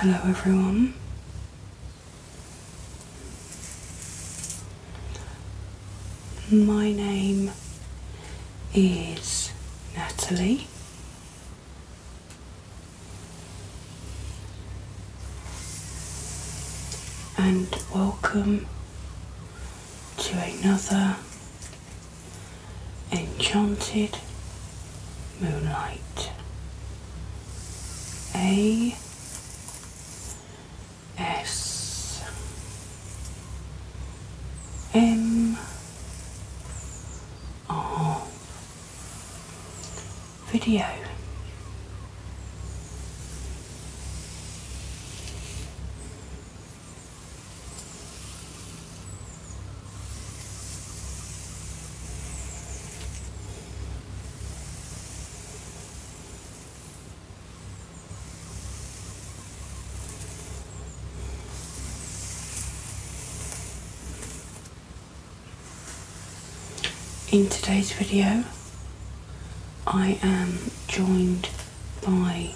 Hello, everyone. My name is Natalie. And welcome to another enchanted moonlight. A S M R video. In today's video, I am joined by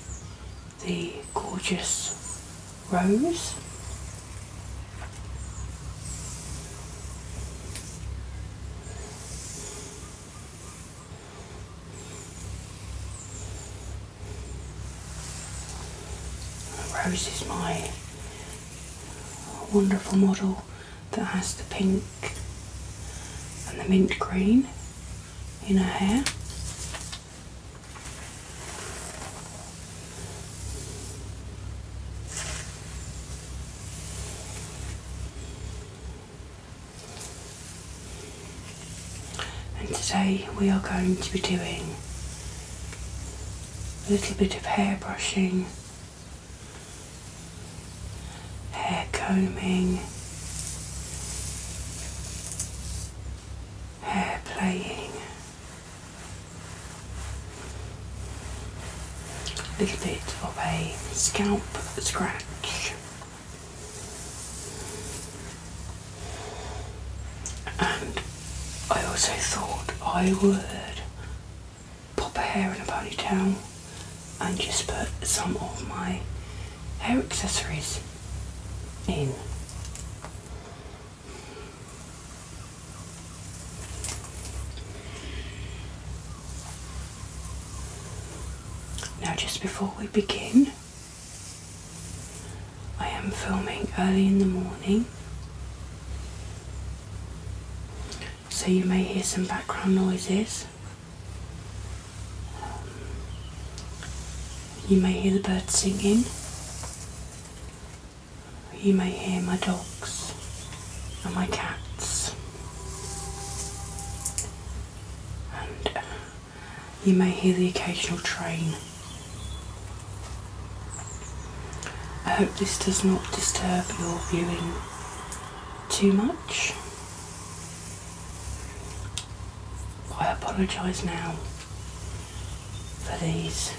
the gorgeous Rose. Rose is my wonderful model that has the pink and the mint green in her hair. And today we are going to be doing a little bit of hair brushing hair combing, hair playing, a little bit of a scalp scratch. And I also thought I would pop a hair in a ponytail and just put some of my hair accessories in. Now just before we begin, I am filming early in the morning so you may hear some background noises. Um, you may hear the birds singing. You may hear my dogs and my cats. And uh, you may hear the occasional train. I hope this does not disturb your viewing too much. I apologise now for these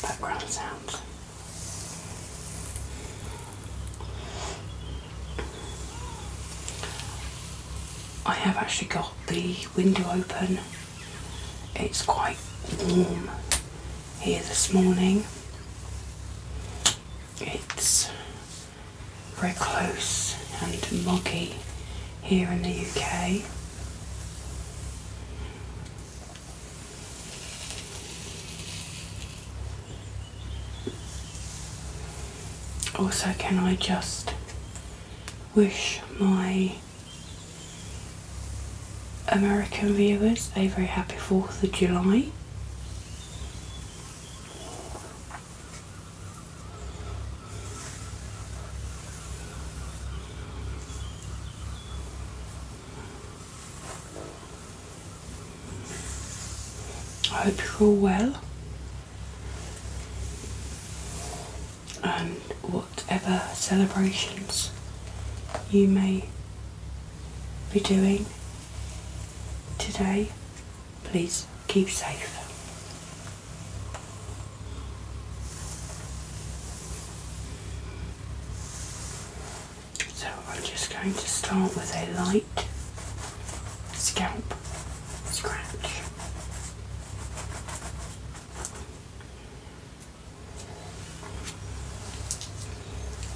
background sounds. I have actually got the window open. It's quite warm here this morning. It's very close and muggy here in the UK. Also, can I just wish my American viewers a very happy 4th of July? I hope you're all well, and whatever celebrations you may be doing today, Please keep safe. So I'm just going to start with a light scalp scratch.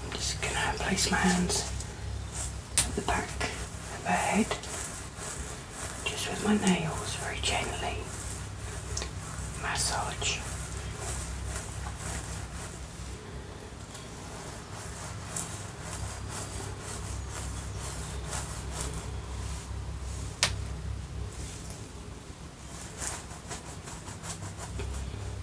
I'm just going to place my hands the back of her head, just with my nails, very gently. Massage.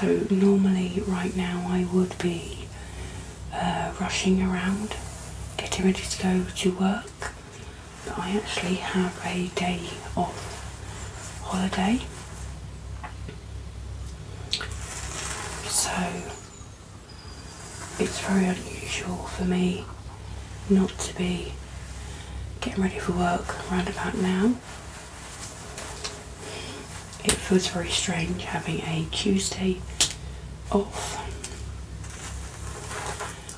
So, normally, right now, I would be uh, rushing around, getting ready to go to work. But I actually have a day off holiday. So it's very unusual for me not to be getting ready for work around about now it feels very strange having a Tuesday off.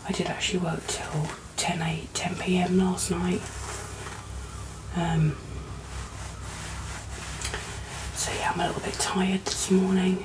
I did actually work till 10 8, 10 p.m. last night. Um, so yeah, I'm a little bit tired this morning.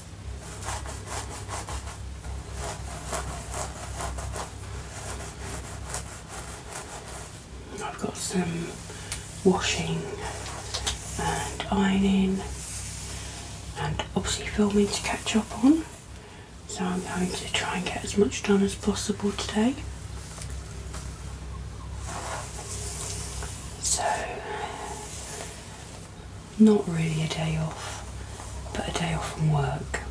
I've got some washing and ironing and obviously filming to catch up on. So I'm going to try and get as much done as possible today. So not really a day off, but a day off from work.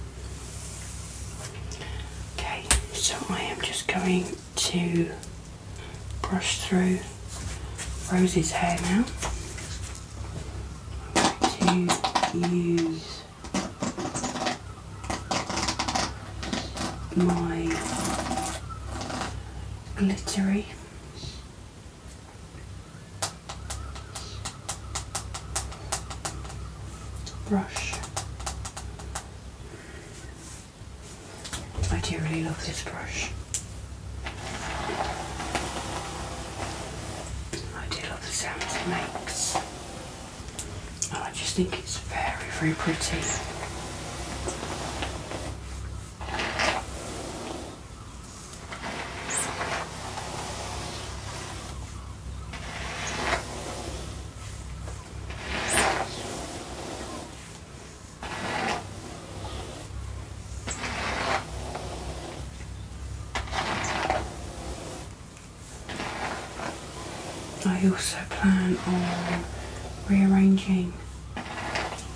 Okay, so I am just going to brush through Rosie's hair now. I'm going to use my glittery brush. I do really love this brush. I do love the sound it makes. And I just think it's very, very pretty. I also plan on rearranging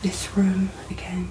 this room again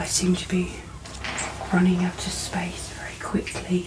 I seem to be running out of space very quickly.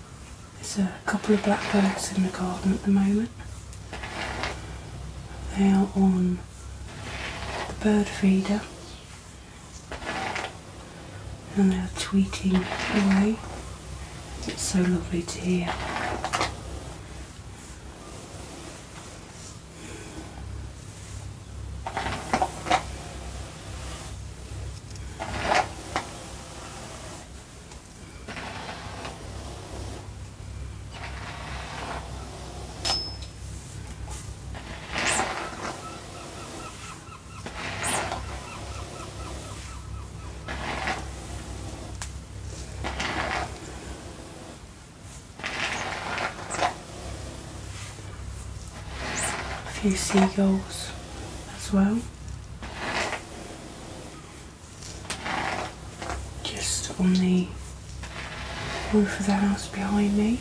There's a couple of blackbirds in the garden at the moment. They are on the bird feeder and they are tweeting away. It's so lovely to hear. A few seagulls as well just on the roof of the house behind me.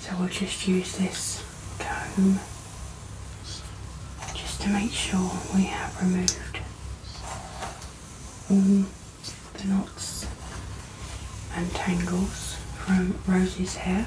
So we'll just use this comb just to make sure we have removed all the knots and tangles from Rosie's hair.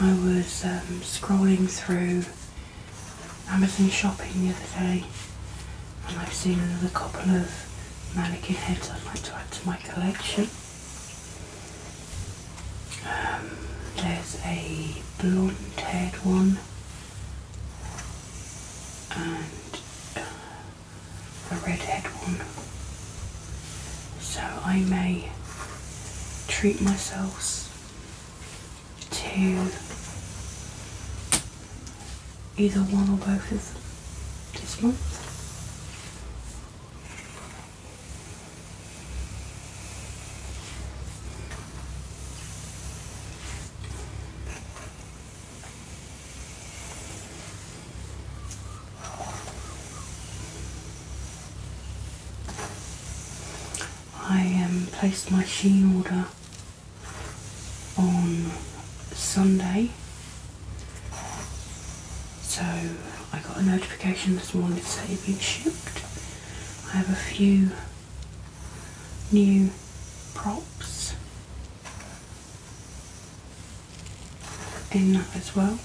I was um, scrolling through Amazon shopping the other day and I've seen another couple of mannequin heads I'd like to add to my collection. Um, there's a blonde haired one and uh, a redhead one. So I may treat myself to either one or both of this month. I um, placed my sheen order on Sunday. So I got a notification this morning to say it had been shipped. I have a few new props in that as well.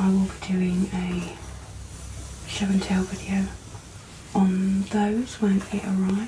I will be doing a show and tell video on those when it arrives.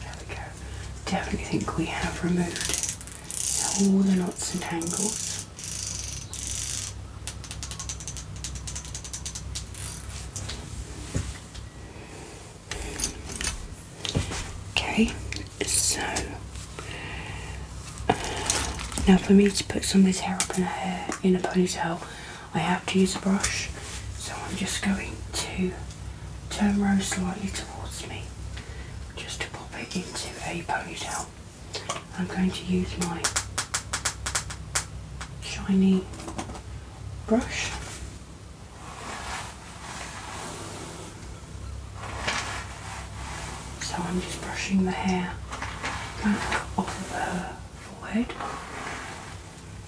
There we go. Definitely think we have removed all the knots and tangles. Okay, so uh, now for me to put some of somebody's hair up in a hair in a ponytail, I have to use a brush, so I'm just going to turn Rose slightly towards me just to pop it into a ponytail. I'm going to use my shiny brush. So I'm just brushing the hair back off of her forehead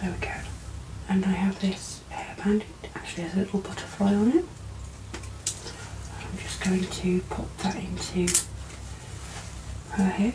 There we go. And I have this hair band. actually has a little butterfly on it. I'm just going to pop that into her head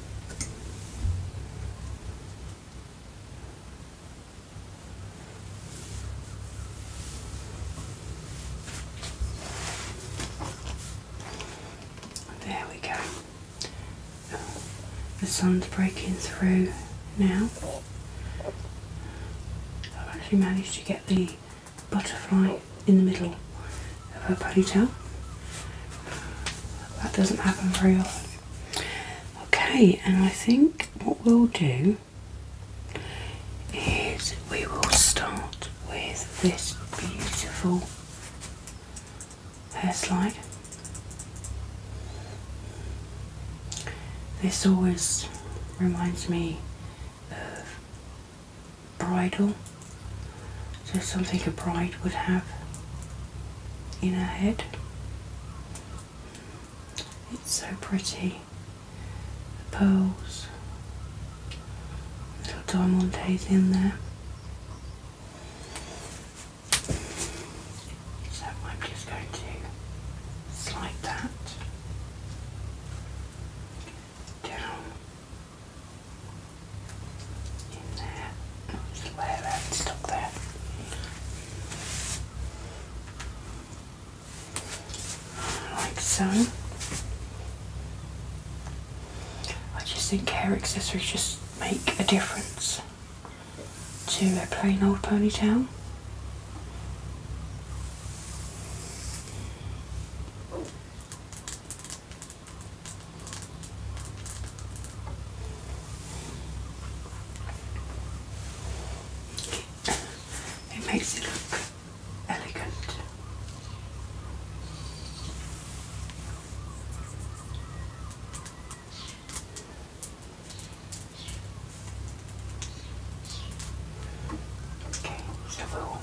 There we go. the sun's breaking through now. I've actually managed to get the butterfly in the middle of a ponytail. That doesn't happen very often. Okay, and I think what we'll do is we will start with this beautiful hair slide. This always reminds me of bridal so something a bride would have in her head. It's so pretty. pearls, little diamond days in there. So I'm just going to slide that down in there. That's where that's stuck there. Like so. I just think hair accessories just make a difference to a plain old ponytail. It makes it look elegant. Okay, so we'll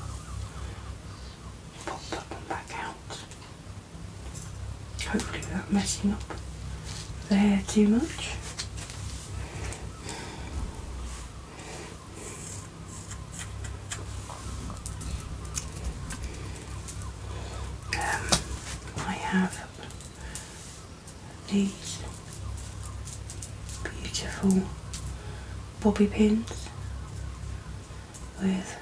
pop that one back out. Hopefully without messing up the hair too much. Um, I have these beautiful bobby pins with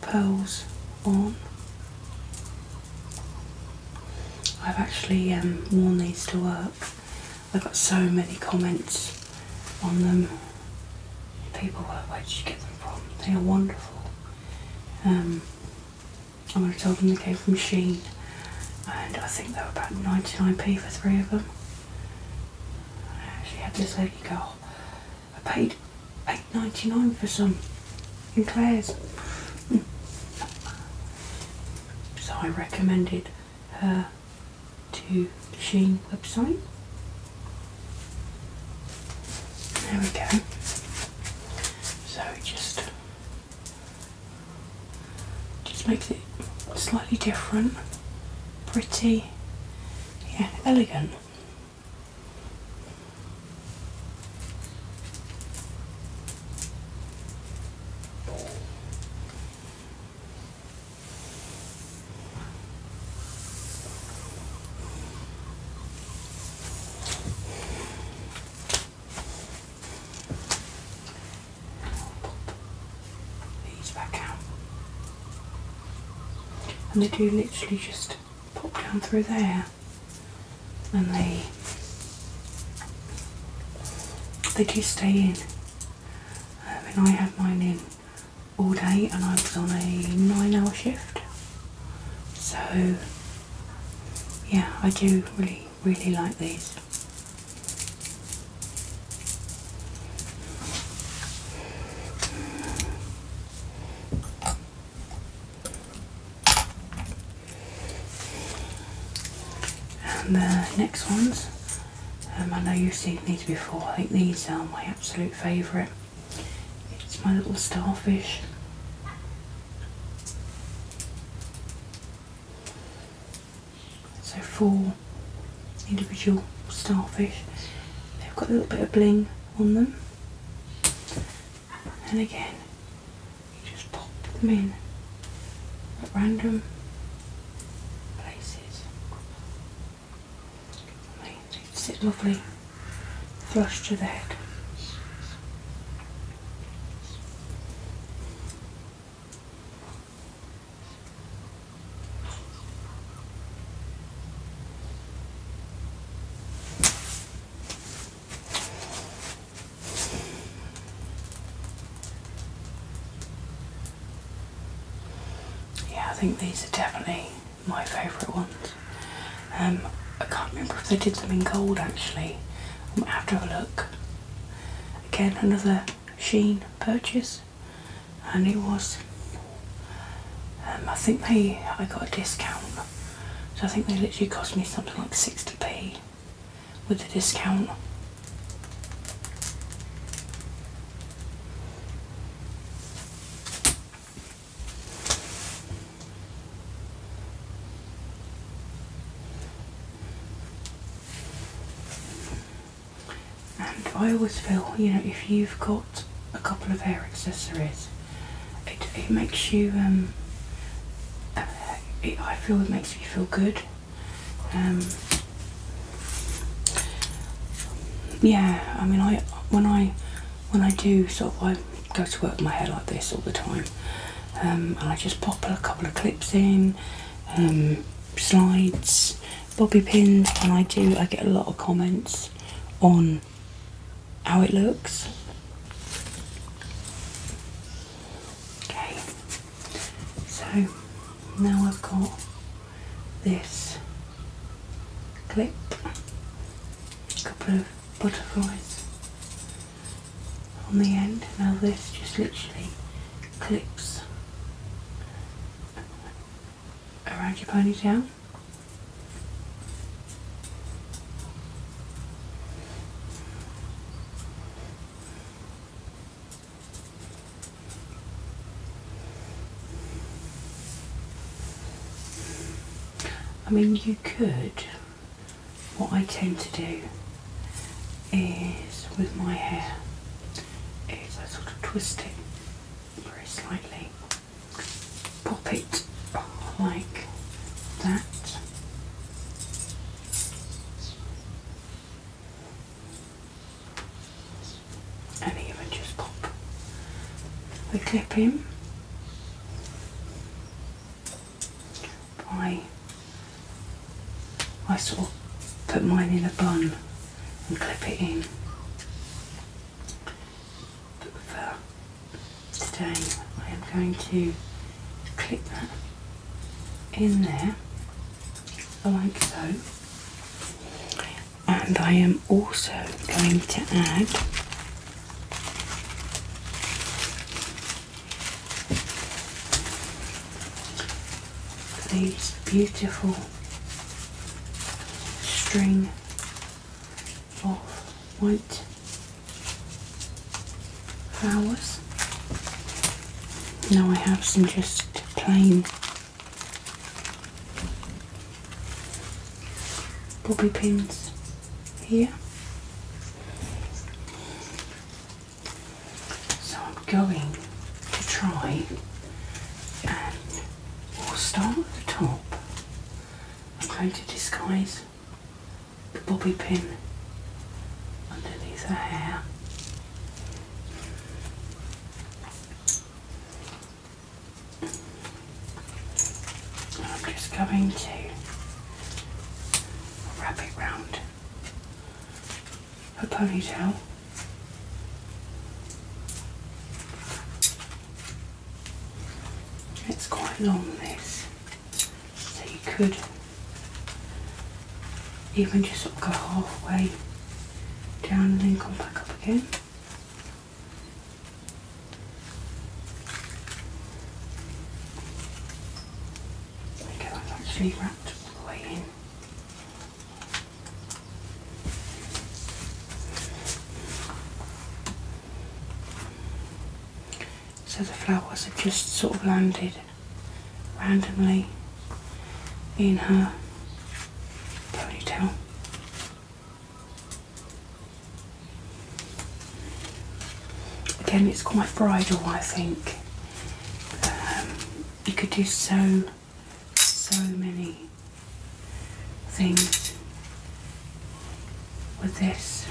pearls on. I've actually um, worn these to work. I got so many comments on them. People were, where did you get them from? They are wonderful. Um, I'm going to tell them they came from Sheen and I think they were about 99p for three of them. I actually had this lady go, I paid eight ninety nine for some in Claire's. So I recommended her to the Sheen website. There we go. So it just just makes it slightly different, pretty, yeah, elegant. These back out. And they do literally just just pop down through there and they they do stay in um, and I had mine in all day and I was on a nine hour shift so yeah I do really really like these and the next ones, um, I know you've seen these before, I think these are my absolute favourite. It's my little starfish. So four individual starfish. They've got a little bit of bling on them and again you just pop them in at random places and they sit lovely flush to the head yeah, I think these are definitely my favourite ones. Um, I can't remember if they did them in gold actually. I might have to have a look. Again, another Sheen purchase and it was um, I think they I got a discount so I think they literally cost me something like 60p with the discount and I always feel, you know, if you've got a couple of hair accessories. It, makes you, um, uh, I feel it makes me feel good. Um, yeah, I mean, I when I when I do sort of I go to work with my hair like this all the time, um, and I just pop a couple of clips in, slides, bobby pins, and I do I get a lot of comments on how it looks. Okay, so now I've got this clip, a couple of butterflies on the end. Now this just literally clips around your ponytail. I mean, you could. What I tend to do is with my hair is I sort of twist it very slightly pop it like that. And even just pop the clip him by I sort of put mine in a bun and clip it in. But without I am going to clip that in there like so. And I am also going to add these beautiful string of white flowers. Now I have some just plain bobby pins here. So I'm going to try We'll start at the top. I'm going to disguise the bobby pin underneath her hair. I'm just going to wrap it round her ponytail. It's quite long this, so you could even just go halfway down and then come back up again. There I'm actually wrapped all the way in. So the flowers have just sort of landed randomly in her ponytail. Again, it's quite bridal, I think. Um, you could do so, so many things with this.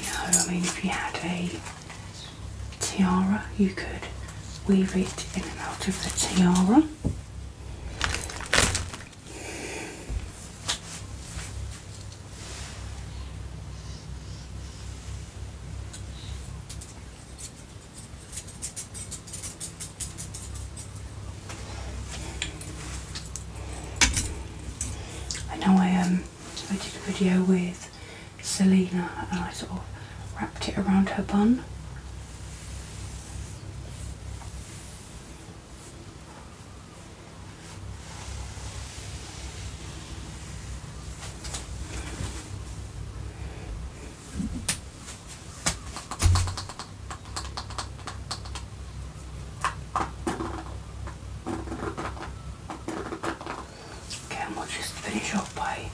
You know, I mean, if you had a tiara, you could weave it in and out of the tiara. I know I um I did a video with Selena and I sort of wrapped it around her bun. Okay, we'll just finish off by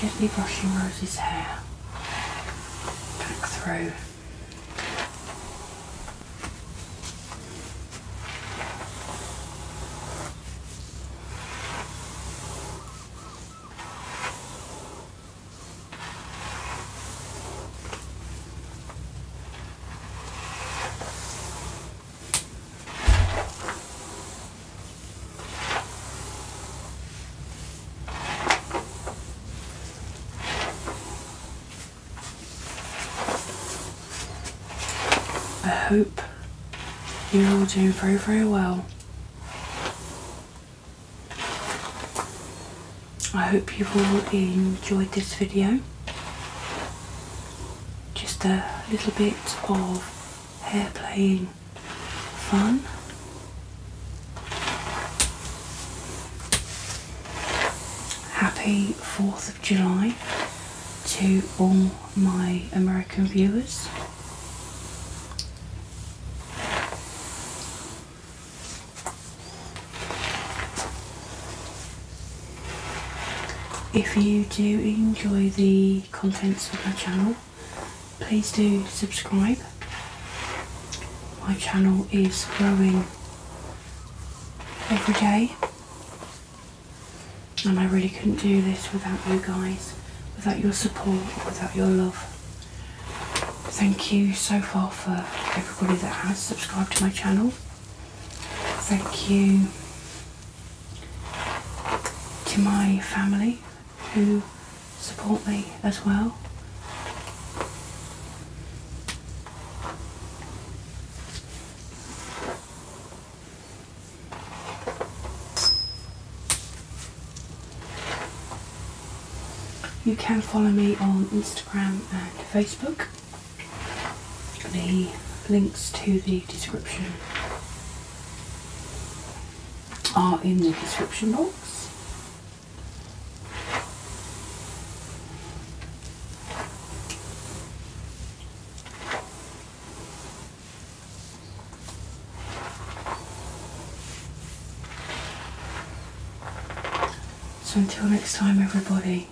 gently brushing Rosie's hair back through. I hope you're all doing very, very well. I hope you've all enjoyed this video. Just a little bit of hair playing fun. Happy 4th of July to all my American viewers. If you do enjoy the contents of my channel, please do subscribe. My channel is growing every day, and I really couldn't do this without you guys, without your support, without your love. Thank you so far for everybody that has subscribed to my channel. Thank you to my family who support me as well. You can follow me on Instagram and Facebook. The links to the description are in the description box. So until next time, everybody,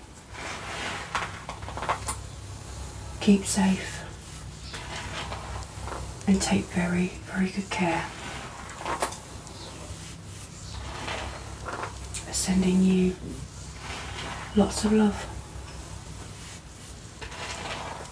keep safe and take very, very good care. Sending you lots of love.